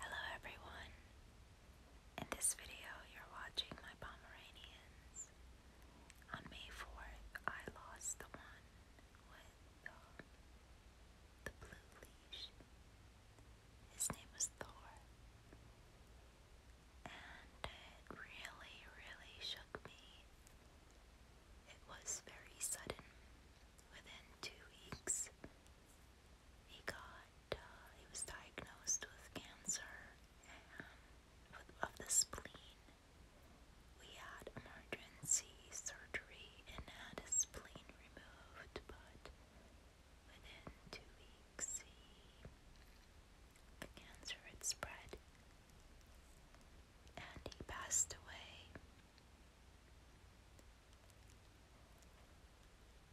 Hello everyone! In this video you're watching my Pomeranians. On May 4th I lost the one with um, the blue leash. His name was Thor. And it really, really shook me. It was very sudden. Within two weeks, he got, uh, he was diagnosed with cancer and of the spleen. We had emergency surgery and had his spleen removed, but within two weeks, the cancer had spread and he passed away.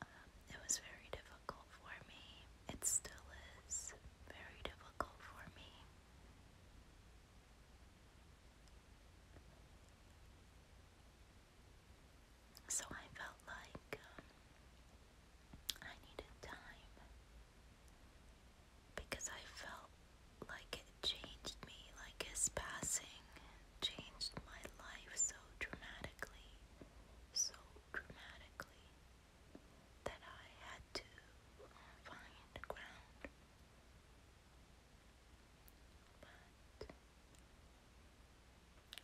Um, it was very difficult for me. It still is very difficult for me. So I felt like um, I needed time because I felt like it changed me, like his passing changed my life so dramatically, so dramatically, that I had to find ground. But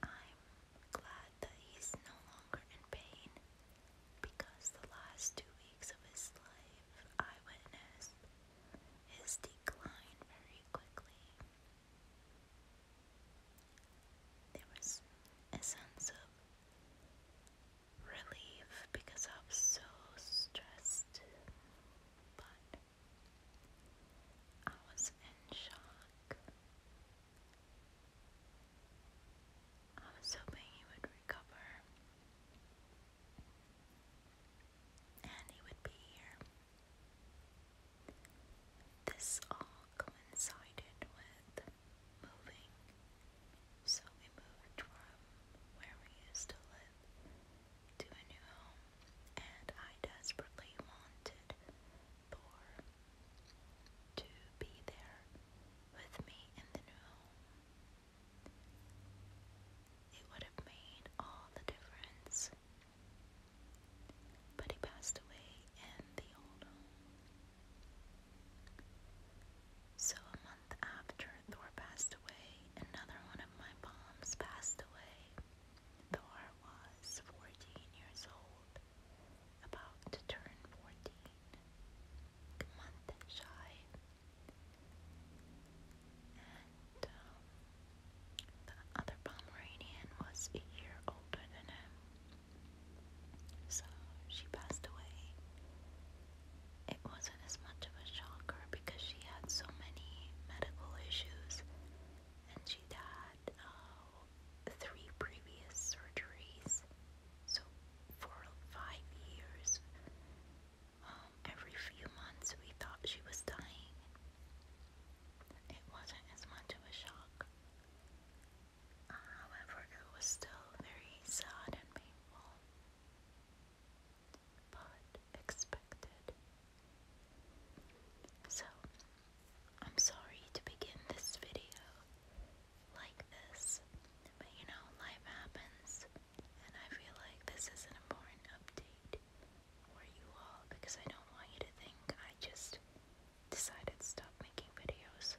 I'm glad that he's no longer in pain because the last two weeks of his life I witnessed his decline very quickly. There was a sense of relief because I was so stressed, but I was in shock. I was hoping he would recover and he would be here. This all coincided with moving, so we moved from where we used to live to a new home, and I desperately wanted Thor to be there with me in the new home. It would have made all the difference but he passed away in the old home. So a month after Thor passed away, another one of my moms passed away. Thor was 14 years old, about to turn 14, a month shy. Um, the other Pomeranian was a year older than him. So she passed away. It wasn't as much of a shocker because she had so many medical issues and she'd had uh, three previous surgeries. So for five years, um, every few months we thought she was dying. It wasn't as much of a shock. Uh, however, it was still very sad and painful, but expected. So, I'm sorry to begin this video like this, but you know, life happens, and I feel like this is an important update for you all because I don't want you to think I just decided to stop making videos.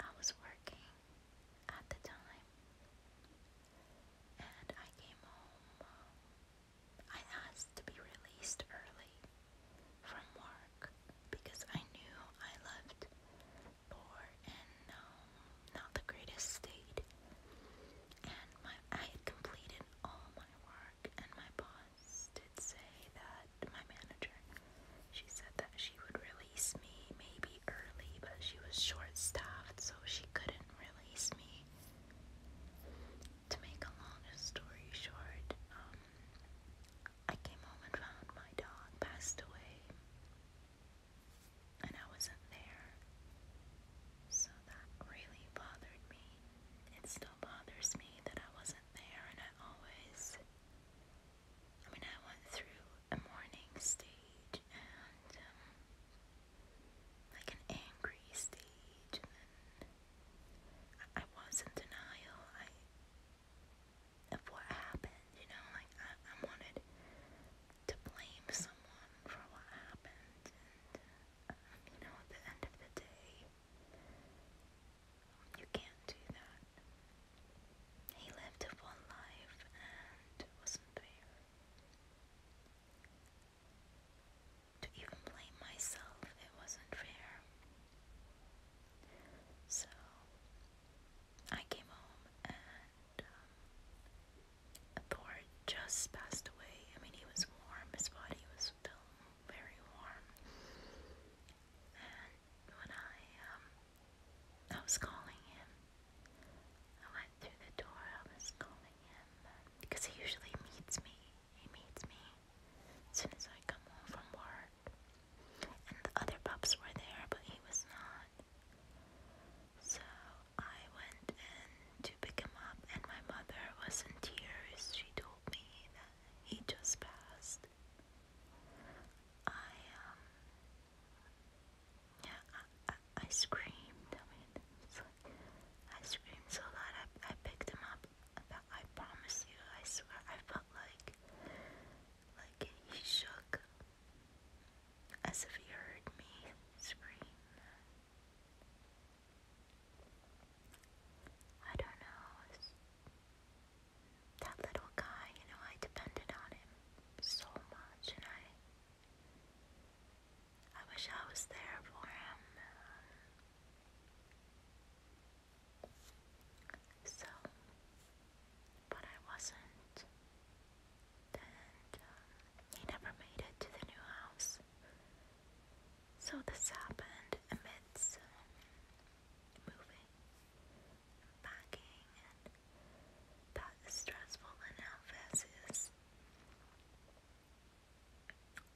I was working at the time and I came home. Um, I asked to be released early from work because I knew I left for an um, not the greatest state. And my I had completed all my work, and my boss did say that my manager, she said that she would release me maybe early, but she was short-staffed, so she couldn't release me. To make a long story short, um, I came home and found my dog passed away and I wasn't there. So that really bothered me. It still bothers me that I wasn't there, and I always. I mean, I went through a mourning stage and um, like an angry stage, and then I, was in denial. I of what happened, you know, like I wanted to blame someone for what happened, and um, you know, at the end of the day, you can't do that. He lived one life, and it wasn't fair. To even blame myself, it wasn't fair. So I came home and um, Thor just passed away. I mean, he was warm, his body was still very warm. And when I, um, I was calling him, I went through the door, I was calling him, because he usually meets me. He meets me as soon as I come home from work. And the other pups were there, but he was not. So I went in to pick him up, and my mother was in tears. She told me that he just passed. I, um, yeah, I, I, screamed. I screamed so loud. I, I picked him up. I promise you, I swear, I felt like, like he shook as if he heard me scream. I don't know. That little guy, you know, I depended on him so much, and I, I wish I was there for him. So, but I wasn't. Uh, he never made it to the new house. So this happened amidst moving, packing, that is stressful. And now is.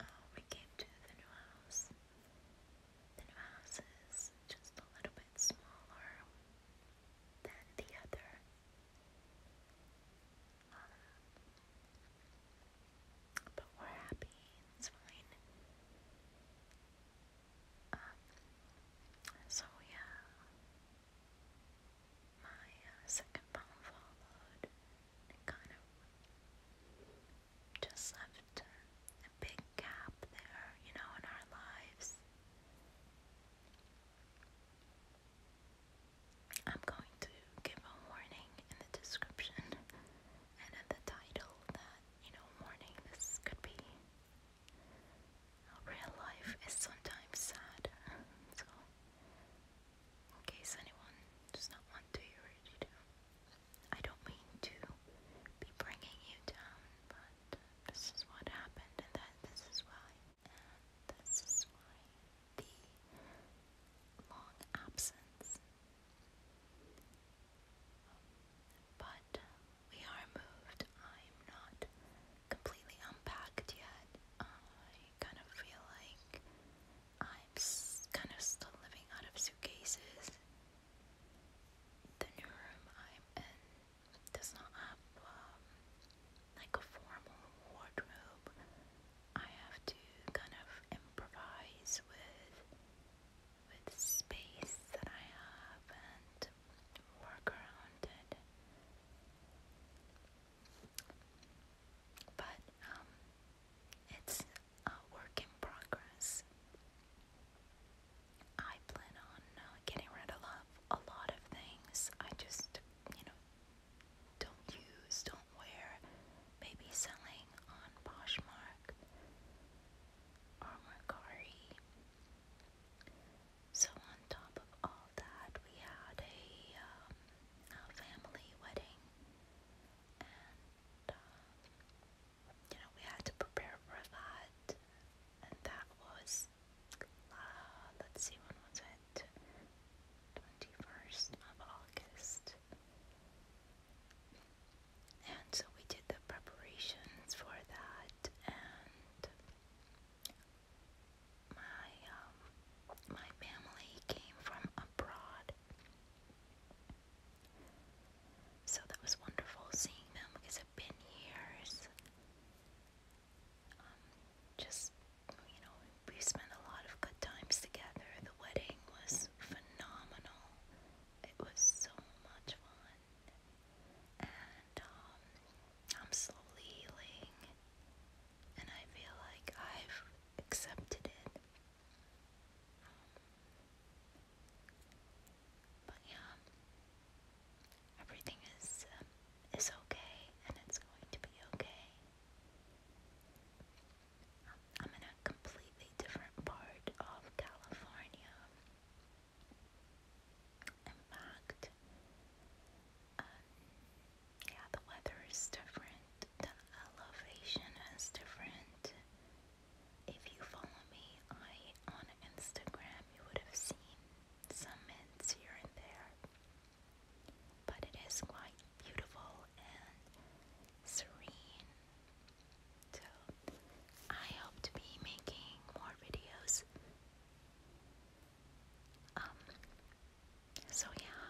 Uh, we came to the new house. The new house is just a little bit smaller than the other but we're happy. It's fine. Um, so yeah, my uh, second poem followed and kind of just left a big gap there, you know, in our lives. I'm going to give a warning in the description and in the title that, you know, warning this could be. Real life is sometimes sad, so in case anyone does not want to hear it, I don't mean to be bringing you down, but this is what happened, and that this is why, and this is why the long absence. But we are moved. I'm not completely unpacked yet. I kind of feel like I'm kind of still living out of suitcases. The new room I'm in does not have um, like a formal wardrobe, I have to kind of improvise with with space that I have and work around it. But um, it's a work in progress. I plan on uh, getting rid of a lot of things. I just, you know, don't use, don't wear, maybe selling on Poshmark or Mercari. So on top of all that, we had a, um, family wedding, and um, you know we had to prepare for that, and that was uh, let's see, when was it? 21st of August. And so we did the preparations for that, and my um, my family came from abroad, so that was wonderful seeing them because it's been years. Um, just, you know, we spent a lot of good times together. The wedding was phenomenal. It was so much fun. And um, I'm slowly healing. And I feel like I've accepted it. Um, but yeah, everything is it's okay and it's going to be okay. I'm in a completely different part of California. In fact, um, yeah, the weather is different, the elevation is different. If you follow me I on Instagram, you would have seen some hints here and there but it is quite beautiful and serene. So, I hope to be making more videos. Um, so yeah,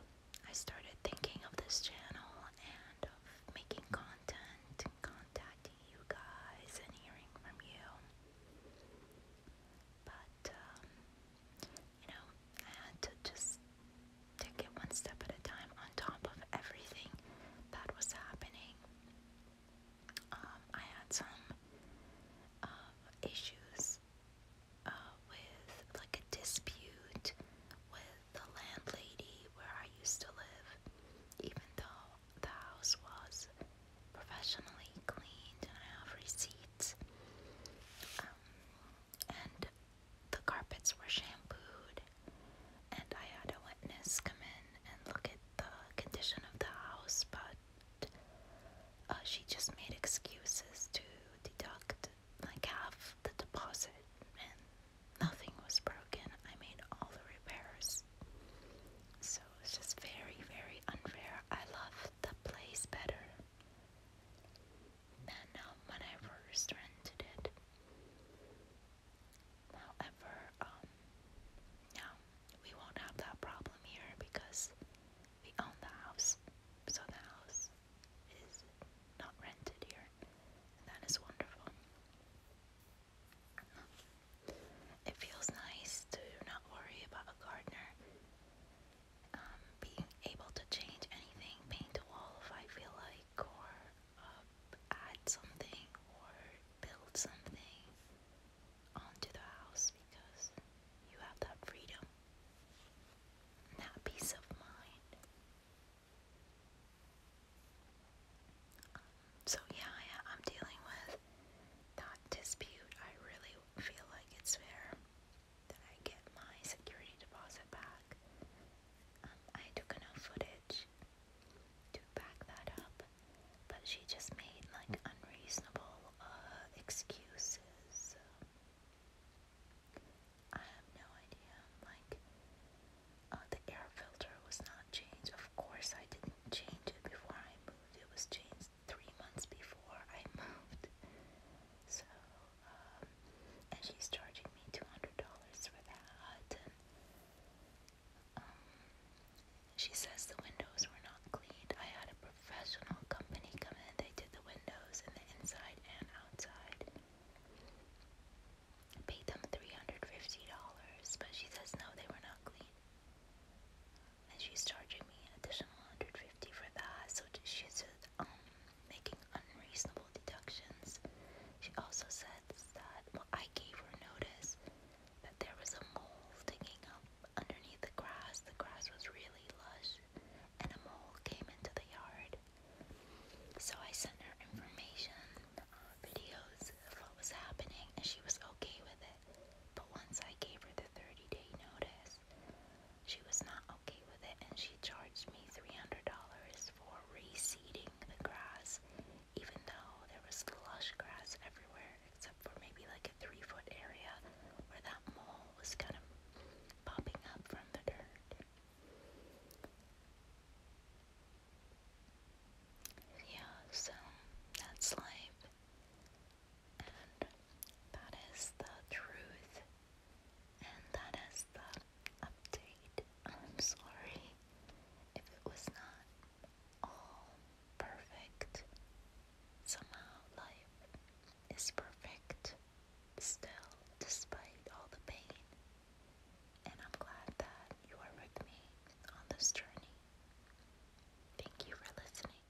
I started thinking of this channel and of making content contacting you guys and hearing from you. But, um, you know, I had to just take it one step at a time on top of everything that was happening. Um, I had some uh, issues uh, with like a dispute with the landlady where I used to live, even though the house was professionally cleaned and I have receipts. Um, and the carpets were shampooed, and I had a witness come in and look at the condition of the house, but uh, she just made excuses to deduct like half the deposit, and nothing was broken. I made all the repairs. So it's just very, very unfair. I love the place better. And um, when I first rented it, however, um, yeah, we won't have that problem here because we own the house, so the house is not rented here, that is wonderful. It feels nice to not worry about a gardener um, being able to change anything, paint a wall if I feel like, or uh, add something, or build something onto the house because you have that freedom, that peace of mind. Um, so, yeah, I'm dealing with that dispute. I really feel like it's fair that I get my security deposit back. Um, I took enough footage to back that up, but she just made like unreasonable uh, excuses. I have no idea. Like, uh, the air filter was not changed. Of course, I didn't change it before I moved. It was changed three months before I moved. So, um, and she's charging me $200 for that. And, um, she says the windows were not cleaned. I had a professional company come in, they did the windows and the inside and outside. paid them $350, but she says no, they were not clean and she's charging me an additional 150 for that. So she's um, making unreasonable deductions. She also said that well, I gave her notice that there was a mole digging up underneath the grass. The grass was really lush, and a mole came into the yard. So I sent her information, uh, videos of what was happening, and she was okay with it. But once I gave her the 30 day notice, she was not okay with it and she charged me $300 for reseeding the grass, even though there was lush grass everywhere except for maybe like a three foot area where that mole was kind of popping up from the dirt. Yeah, so that's life. And that is the truth. And that is the update. I'm sorry if it was not all perfect. Somehow life is perfect still, despite all the pain. And I'm glad that you are with me on this journey. Thank you for listening.